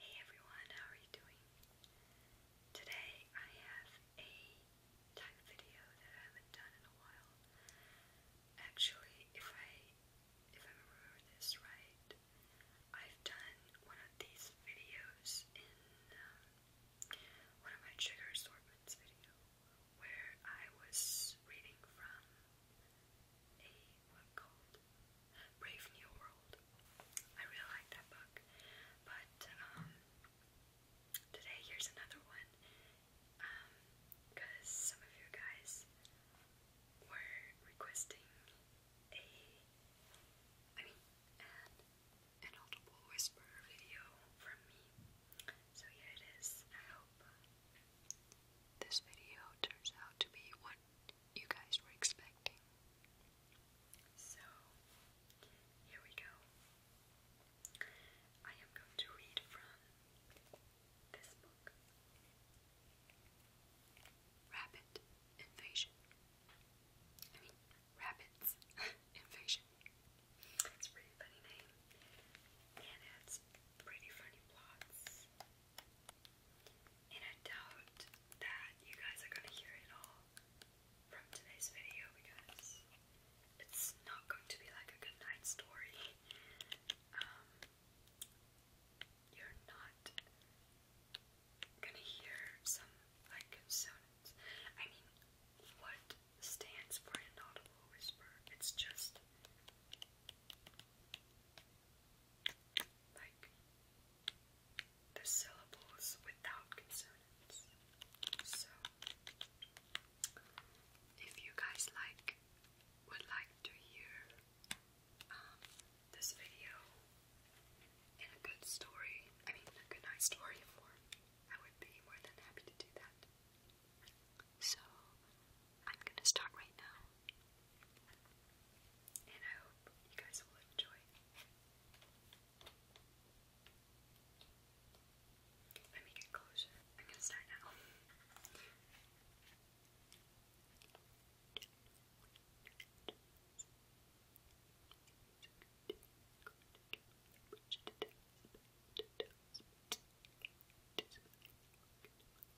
Hey everyone, how are you doing? Today I have a type video that I haven't done in a while. Actually, if I if I remember this right, I've done one of these videos in um, one of my trigger assortments video where I was reading from a book called Brave New World. I really like that book. But um, today here's another one. because um, some of you guys were requesting a, I mean, an, audible whisper video from me. So here it is. I hope this video turns out to be what you guys were expecting. So, here we go. I am going to read from this book Rabbit Invasion. I mean, Rabbits Invasion. It's pretty funny name, and it's pretty funny plots. And I doubt that you guys are gonna hear it all from today's video because it's not going to be like a good story. Um, you're not gonna hear some like consonants. I mean, what stands for inaudible whisper? It's just like the syllables without consonants. So, if you guys like, would like to hear um, this video and a good story, I mean a good night story form, I would be more than happy to do that. So, I'm gonna start right now. And I hope you guys will enjoy. Let me get closer. I'm gonna start now.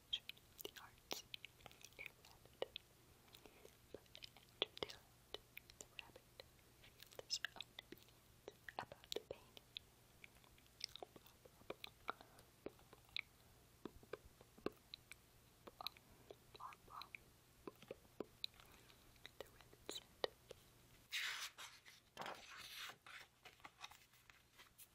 culture, the arts, and rabbit. But Andrew Dillard, the rabbit, felt his own opinions about the painting. The rabbit said.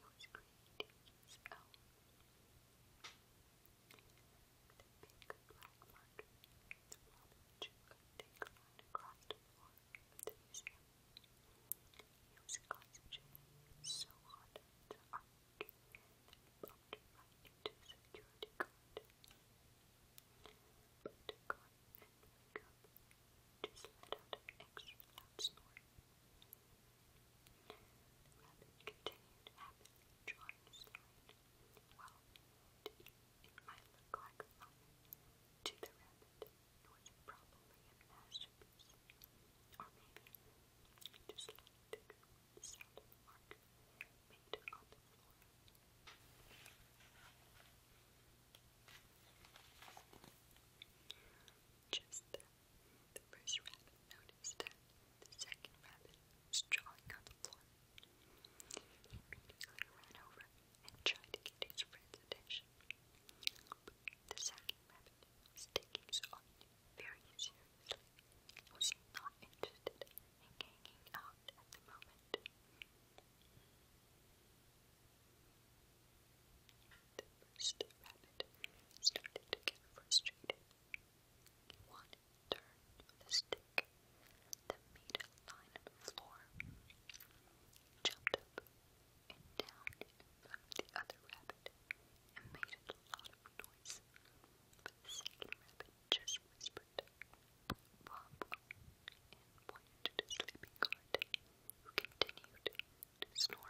whose creations own the big black marker the robin took a thick line across the It was concentrated so hot on the artwork that it bumped right into But the guard did up, just let extra loud the rabbit continued happily drawing his Well, to eat it might look like fun. To the rabbit, it was probably a masterpiece. Or maybe just like the good of mark made on the floor. Just then, the first rabbit noticed that the second rabbit was drawing on the floor. He immediately ran over and tried to get his friend's attention. the second rabbit was his art very seriously, was not interested in hanging out at the moment. The first rabbit started to get frustrated. He wanted to turn with stick that made a line on the floor. jumped up and down in front of the other rabbit and made a lot of noise. But the second rabbit just whispered, Bob, and pointed to the sleeping guard, who continued is Norway.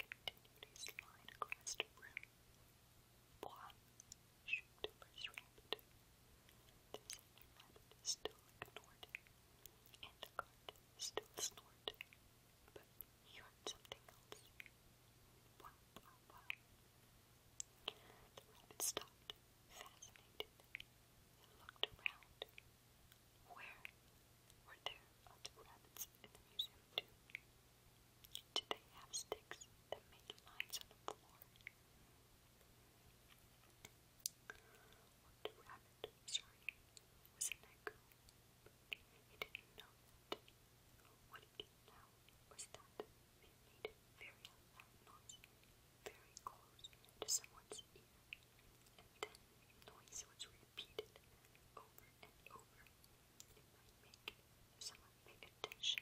continued his line across the room. Bois, shoot the first rabbit. The still ignored him, and the guard still snorted. But he heard something else. The rabbit stopped, fascinated. It looked around. Where were there other rabbits in the museum, too? Did they have sticks that made lines on the floor? What rabbit, sorry, was that He didn't know that. What he know was that may made very loud very close to someone's ear, and then the noise was repeated over and over. make someone pay attention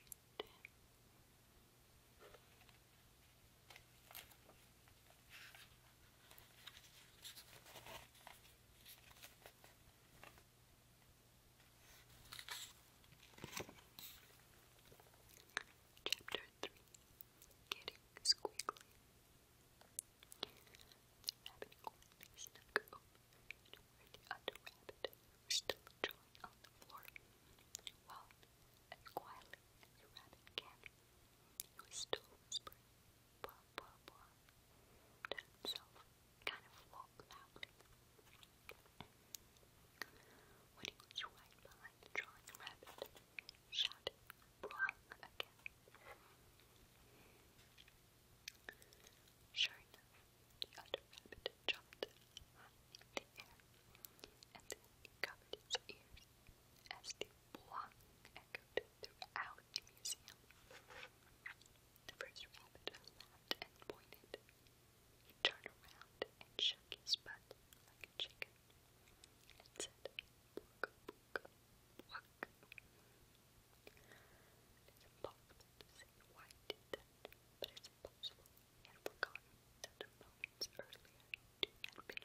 Chapter 3 Getting Squiggly. The rabbit quietly snuck the other rabbit was still on the floor. Well, quietly as rabbit can, he was still whispering, blah, blah, blah, to himself, kind of loudly. When he was right behind the rabbit, shouted Brung again. Sure enough, the other rabbit jumped in the air, and then covered his ears as the Brung echoed throughout the museum. The first rabbit laughed and pointed. He turned around and shook his butt like a chicken and said, Book, book, book. It's impossible to why did that, but it's impossible he had forgotten that the moments earlier he had been afraid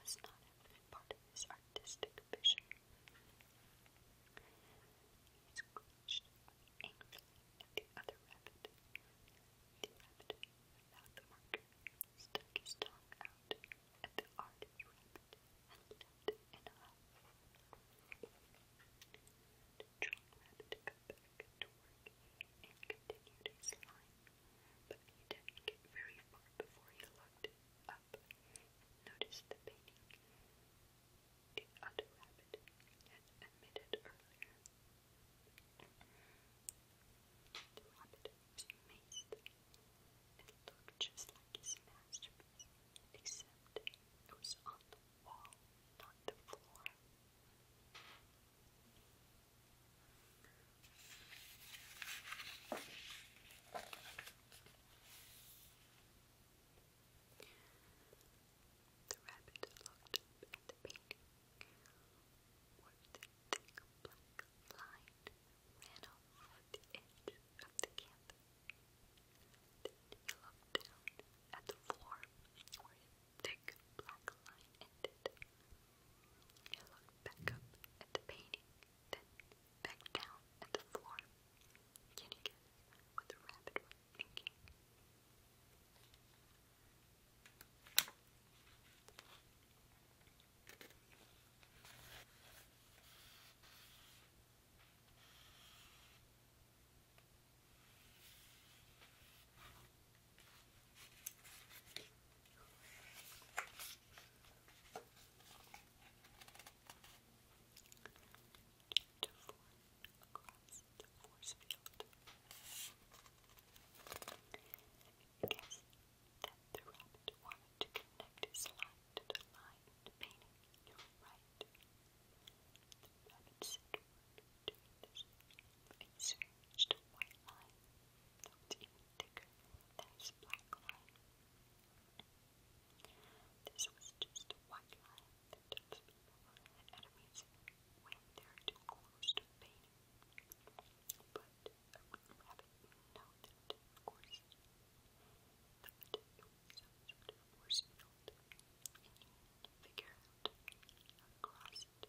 must not have been part of his artistic vision. He screeched angrily at the other rabbit. The rabbit, without the marker, stuck his tongue out at the ardent and left it in a huff. The drunk rabbit got back to work and continued his line, but he didn't get very far before he looked up Notice the painting. The other rabbit had admitted earlier. The rabbit was amazed. It looked just like his masterpiece, except it was on the wall, not the floor. The rabbit looked at the painting. What the black line ran off the edge of the camp. Then looked down at the floor where his thick black line ended. He looked back up at the painting. Then, back down at the floor. Can you guess rabbit to form the force field. to connect his line to the line painting your right. The rabbit said doing white line that was even thicker than black line. This was just a line that people at a when they're too close to painting. But a rabbit noted, of course, of force field, and you need to figure out cross it.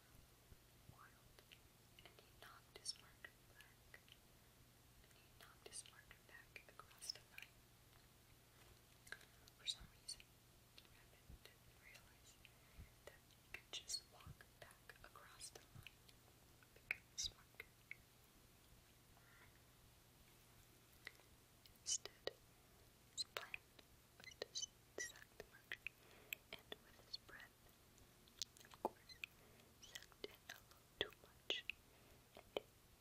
and he knocked his marker back, he knocked his marker back across the line. For some reason, Rabbit did that he could just walk back across the line and become his marker. Instead, his plan with this sucked and with his breath. Of course, sucked in a little too much and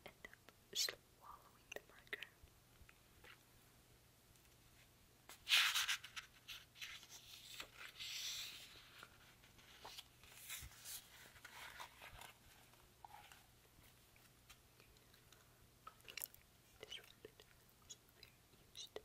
ended up swallowing the mercury. This very used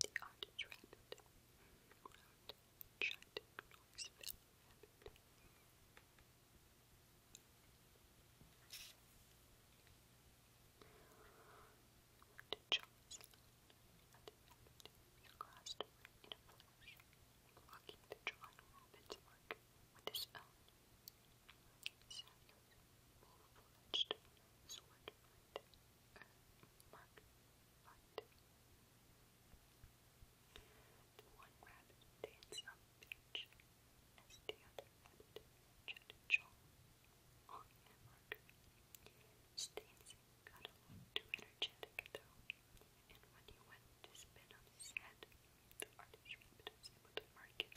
The ostrich Round, giant, enormous fell rabbit. To Charles the rabbit, we crossed over the work with his own. Samuel, sword Marked, marked, one rabbit danced on the other rabbit tried on the marker. Stacy got a little too energetic though, and when he went to spin on his head, the artist was able to mark it.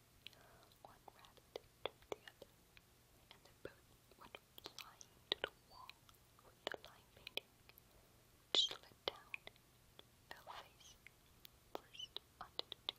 One rabbit to the other, and they both went flying to the wall with the line painting, which slid down fell face first onto the two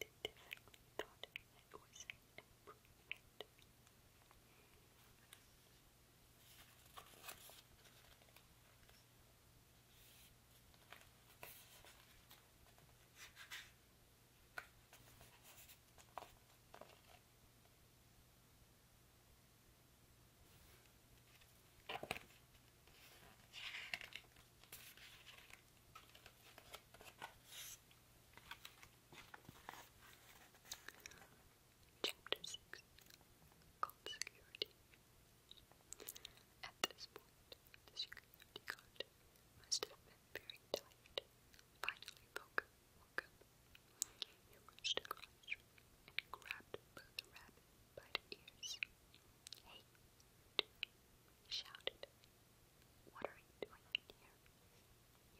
They definitely thought it was an improvement. Chapter 6 Called Security. At this point, the security guard must have been very tired. Finally, Poker woke He rushed across and grabbed the rabbit by the ears. Hey! shouted. What are you doing here?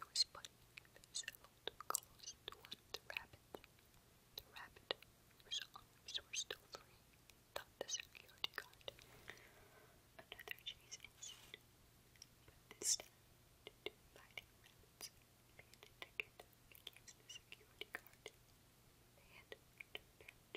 He was putting his close to one rabbit. The rabbit, whose arms were still free, thought the security guard. Another chase ensued, this time the two fighting rabbits began against the security guard. They had flipped over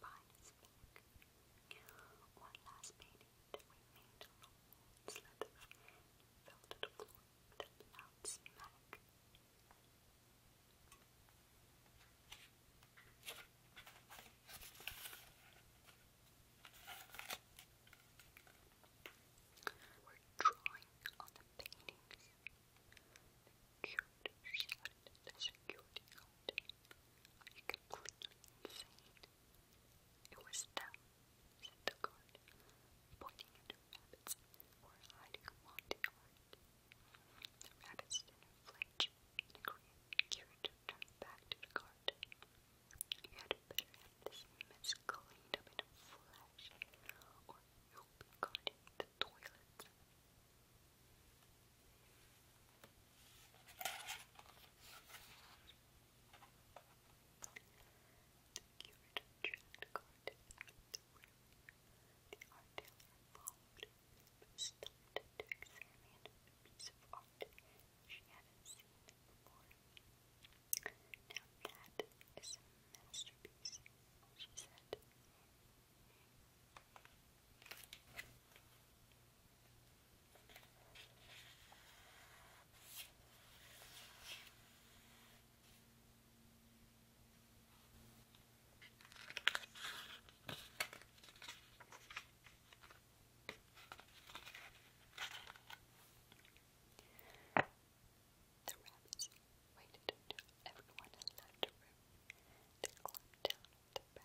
behind One last painting that remained on the wall the floor with a loud We're drawing on the paintings. The curator security guard. Are you completely it was them, said the guard, pointing at the rabbits who were hiding among the yard. The rabbits didn't flinch and Kirito turned back to the guard. You had better have this mess cleaned up in a or you'll be guarding the toilet. The curate dragged Carter out of the room. The art dealer followed, but stopped to examine a piece of art she hadn't seen before. Now that is a masterpiece, she said. It the rabbits waited until everyone left the room to climb down with their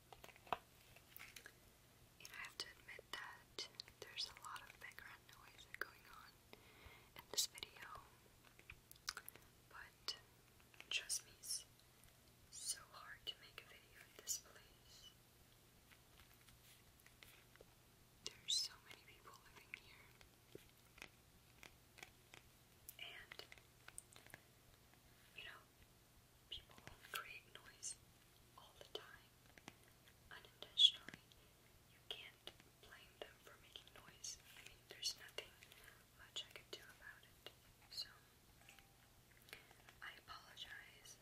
I have to admit that there's a lot of background noise going on in this video, but trust me, it's so hard to make a video in this place. There's so many people living here. And, you know, People create noise all the time, unintentionally. You can't blame them for making noise. I mean, there's nothing much I could do about it. So, I apologize,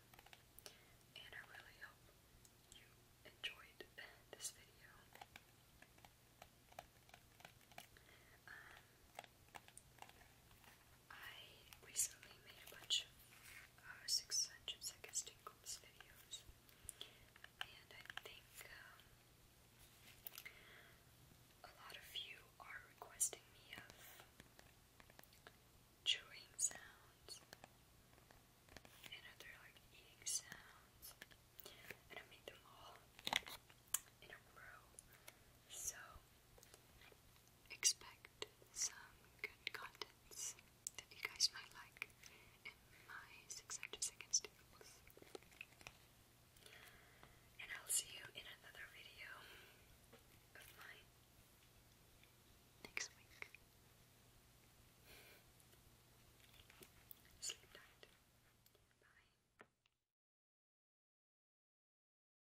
and I really hope you enjoyed this video. Um, I recently made a bunch of uh, Six videos, and I think um, a lot of you are requesting me of chewing sounds and other like eating sounds, and I made them all in a row. So expect some good contents that you guys might like in my successes against And I'll see you in another video of mine next week. Sleep tight. Bye.